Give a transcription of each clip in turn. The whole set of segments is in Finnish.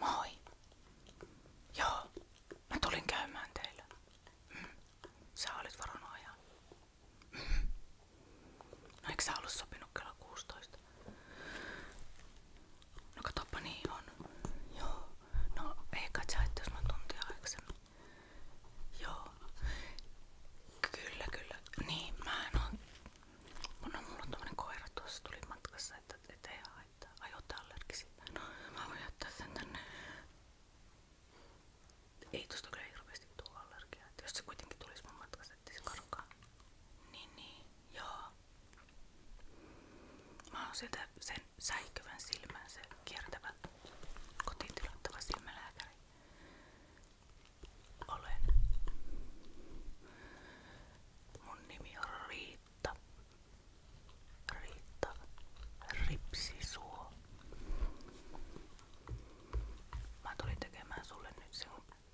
Moi. Joo, mä tulin käymään teillä. Mm. Sä olit varannut ajan. Mm. No eikö sä ollut sopinut kello 16? No katoppa niin on. Joo. No ei kai sä et, jos mä tuntia aikaisemmin. Joo. Kyllä, kyllä. Niin, mä en oo Mun on mulla tommonen koira tuossa tuli matkassa, että ettei haittaa. Ajota allergisille. No mä voin jättää sen tänne. Ei tosta kyllä hirveesti tuu allergiaa. Jos se kuitenkin tulisi mun matkassa, ettei se karkaa. Niin niin, joo. Mä oon sieltä sen säikyvän silmän, se kiertävä kotiin tilattava silmälääkäri olen. Mun nimi on Riitta. Riitta Ripsisuo. Mä tulin tekemään sulle nyt sen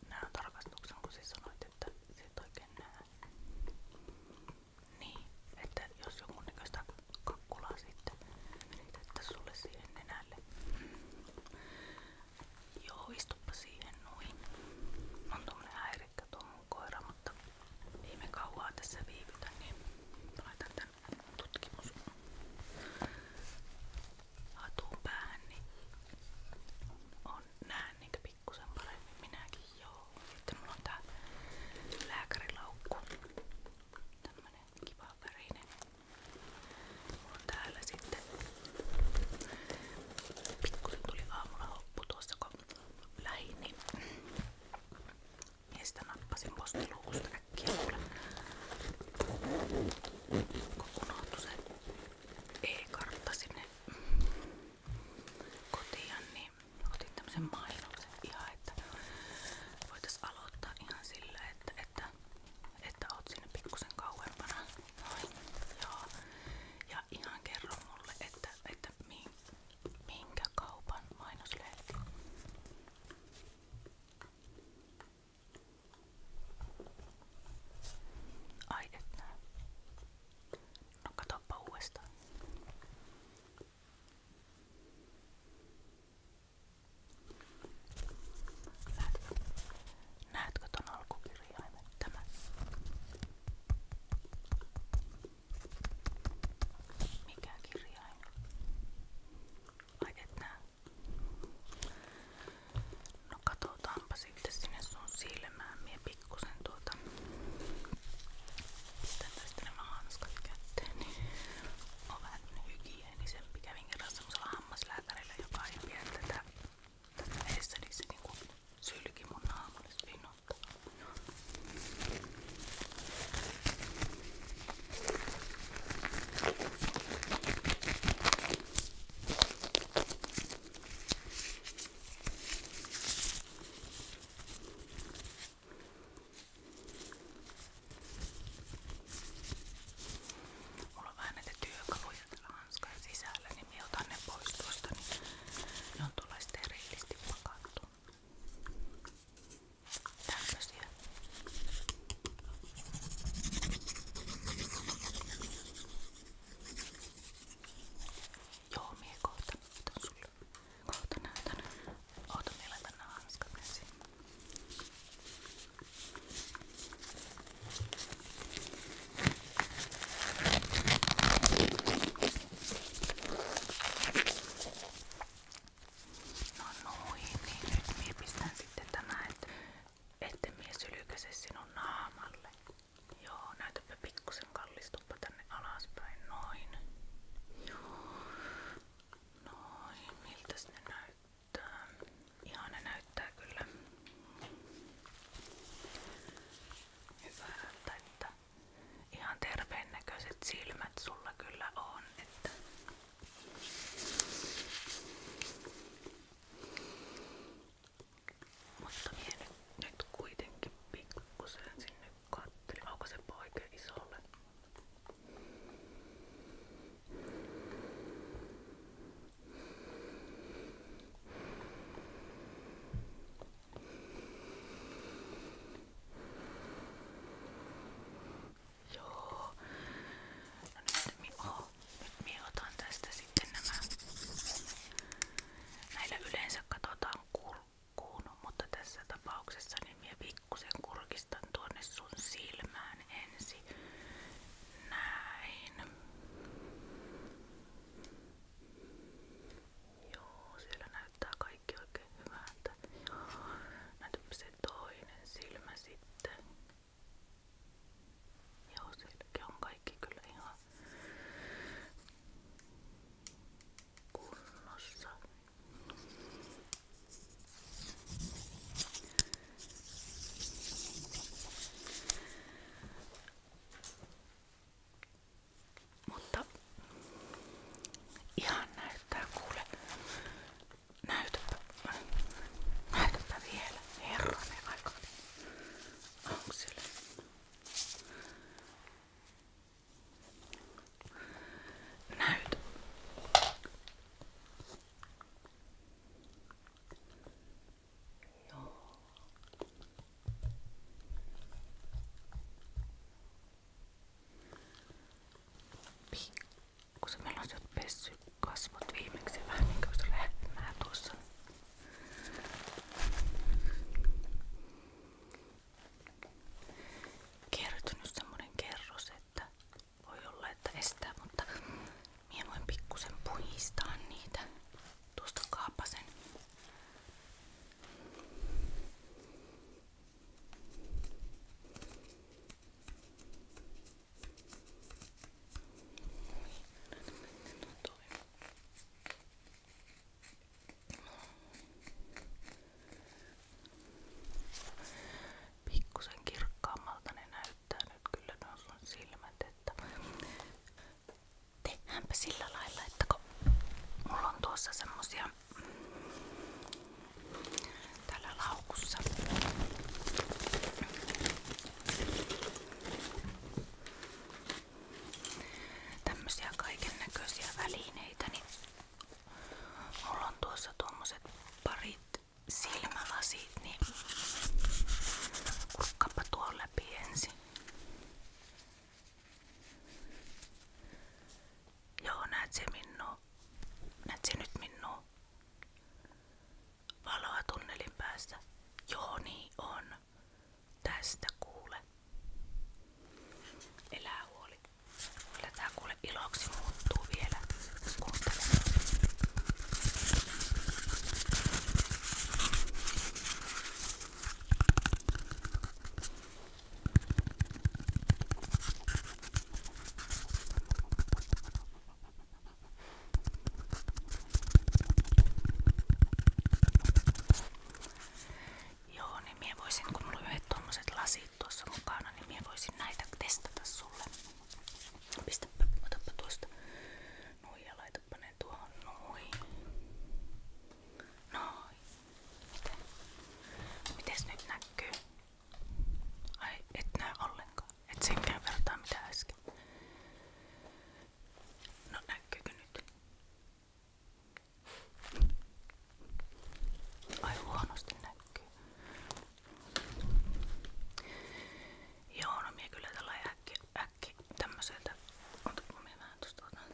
nään tarkastuksen, kun sä sanoit, että sä et oikein näe. Niin, että jos joku näköistä kakkulaa sitten, että sulle siihen nenälle. Joo, istuppa siihen noin. On tommonen häirikkä tuo mun koira, mutta ei me kauaa tässä viivytä, niin laitan tän tutkimus hatun päähän, niin on näen niitä pikkusen paremmin minäkin joo. Sitten mulla on tää lääkärilaukku. Tämmönen kiva värinen on sitten. Pikkuinen tuli aamulla hoppu tuossa kun niin nappasin postiluukusta äkkiä Kun unohtui se e-kartta sinne kotiin, niin otin tämmösen mainoksen ihan, että voitais aloittaa ihan sillä, että, että että oot sinne pikkusen kauempana. Noin. Joo. Ja ihan kerro mulle, että, että minkä kaupan mainoslehti. Ai et nää. No katoppa uudestaan. Näetkö, näetkö ton alkukirjaimen tämä? Mikä kirjain? Ai et näe. No katsotaanpa sitten sinne sun silmään. Mie pikkusen tuota... Pistän tästä nämä hanskat kätteen. Niin on vähän hygienistä niin sen kävin kerran semmoisella hammaslääkärillä, joka ei pidä tätä, tätä edessä, niin se niinku sylki mun naamalle spinottaa. Mulla on vähän näitä työkaluja täällä hanskan sisällä, niin minä otan ne pois tuosta, niin ne on tuolla sterilisti pakattu. Tämmösiä. Joo, mie kohta näytän sulle. Kohta näytän. Oota, meillä tänne hanskat ensin. No noin, niin nyt mie pistän sitten tänään, et, ette mie sylykäse sinun naamalle. Joo, näytäpä pikkusen kallistuppa tänne alaspäin, noin. Joo. Noin, miltäs ne näyttää? Ihan ne näyttää kyllä hyvältä, että ihan terveen näköiset silmät sulla kyllä on, että mutta minä nyt, nyt kuitenkin pikkusen sinne katteli, aukasenpa oikein isolle. Joo. No nyt mi oh, nyt mie otan tästä sitten nämä. Näillä yleensä katsotaan kul nukkuun, mutta tässä tapauksessa niin minä pikkusen kurkistan tuonne sun silmään ensin. Näin. Joo, siellä näyttää kaikki oikein hyvältä. Joo, näytäpä se toinen silmä sitten. Joo, sielläkin on kaikki kyllä ihan kunnossa. Mutta ihan näyttää kuule. Näytäpä. Näytäpä vielä. Herranen aika. Onko siellä? Näytä. Joo. Pikkusen meillä on sieltä pessy kasvot viimeksi vähän niin kuin lähettämään tuossa kertynyt semmonen kerros, että voi olla, että estää, mutta minä voin pikkusen puhistaa niitä. Tuosta kaapasen. Niin, Pikkusen kirkkaammalta ne näyttää nyt kyllä nuo sun silmät, että tehdäänpä sillä lailla, että kun mulla on tuossa semmosia täällä laukussa tämmösiä kaiken näköisiä välineitä, niin mulla tuossa tuommoiset parit silmälasit, niin kurkkapa tuon Joo, näet se minua. Näet se nyt minua. Valoa tunnelin päässä. Joo, niin on tästä kuule. Elää huoli. Kyllä tää kuule iloksi muuttuu vielä. Kuuntele. Joo, niin minä voisin, kun mulla on yhdet tommoset lasit tuossa mukana, niin minä voisin näitä testata sulle. Pistäpä, otappa tuosta. Noin ja laitapa ne tuohon noin. Noin. Miten? Mites nyt näkyy? Ai, et näe ollenkaan. Et senkään vertaa mitä äsken. No näkyykö nyt? Ai huonosti näkyy. Joo, no mie kyllä tällä äkki, äkki tämmöseltä. Otapa mie vähän tosta otan.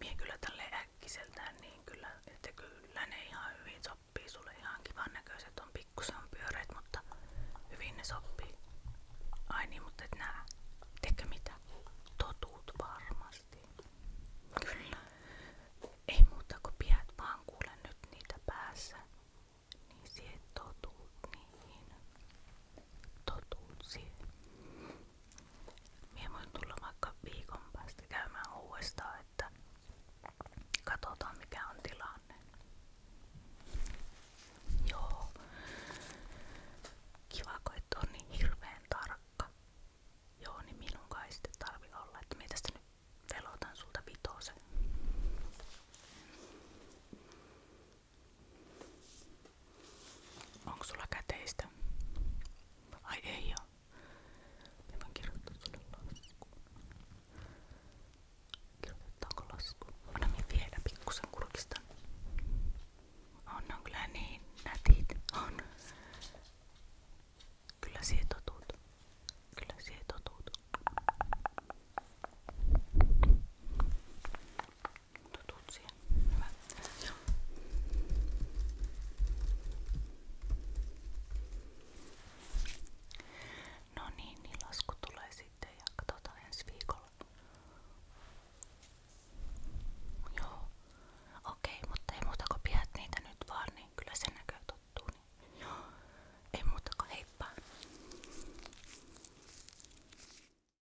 Mie kyllä tälle äkkiseltään niin kyllä, että kyllä ne ihan hyvin sopii sulle ihan kivan näköiset on pikkusen pyöreät, mutta hyvin ne sopii. Ai niin, mutta et nää, tekö mitä? Totuut varmasti. Kyllä. Ei muuta kuin pidät vaan kuule nyt niitä päässä. Niin sie totuut niihin. Totuut sie. Mie voin tulla vaikka viikon päästä käymään uudestaan, että katsotaan mikä on tilanne. Joo. Kiva, kun et on niin hirveän tarkka. Joo, niin minun kai sitten tarvi olla, että mie tästä nyt velotan sulta vitosen. Onko sulla käteistä? Ai ei oo. Mä voin kirjoittaa sulle laskuun. Kirjoitetaanko laskuun? Anna minä vielä pikkusen kurkista. On, on kyllä niin nätit. On. Kyllä siihen totut. Kyllä siihen totut. Totut siihen. Hyvä. Joo. No niin, niin lasku tulee sitten ja katsotaan ensi viikolla. Joo. Okei, mutta ei muuta kuin pidät niitä nyt vaan, niin kyllä se näköy tottuu. Niin. Joo. Ei muuta kuin heippa.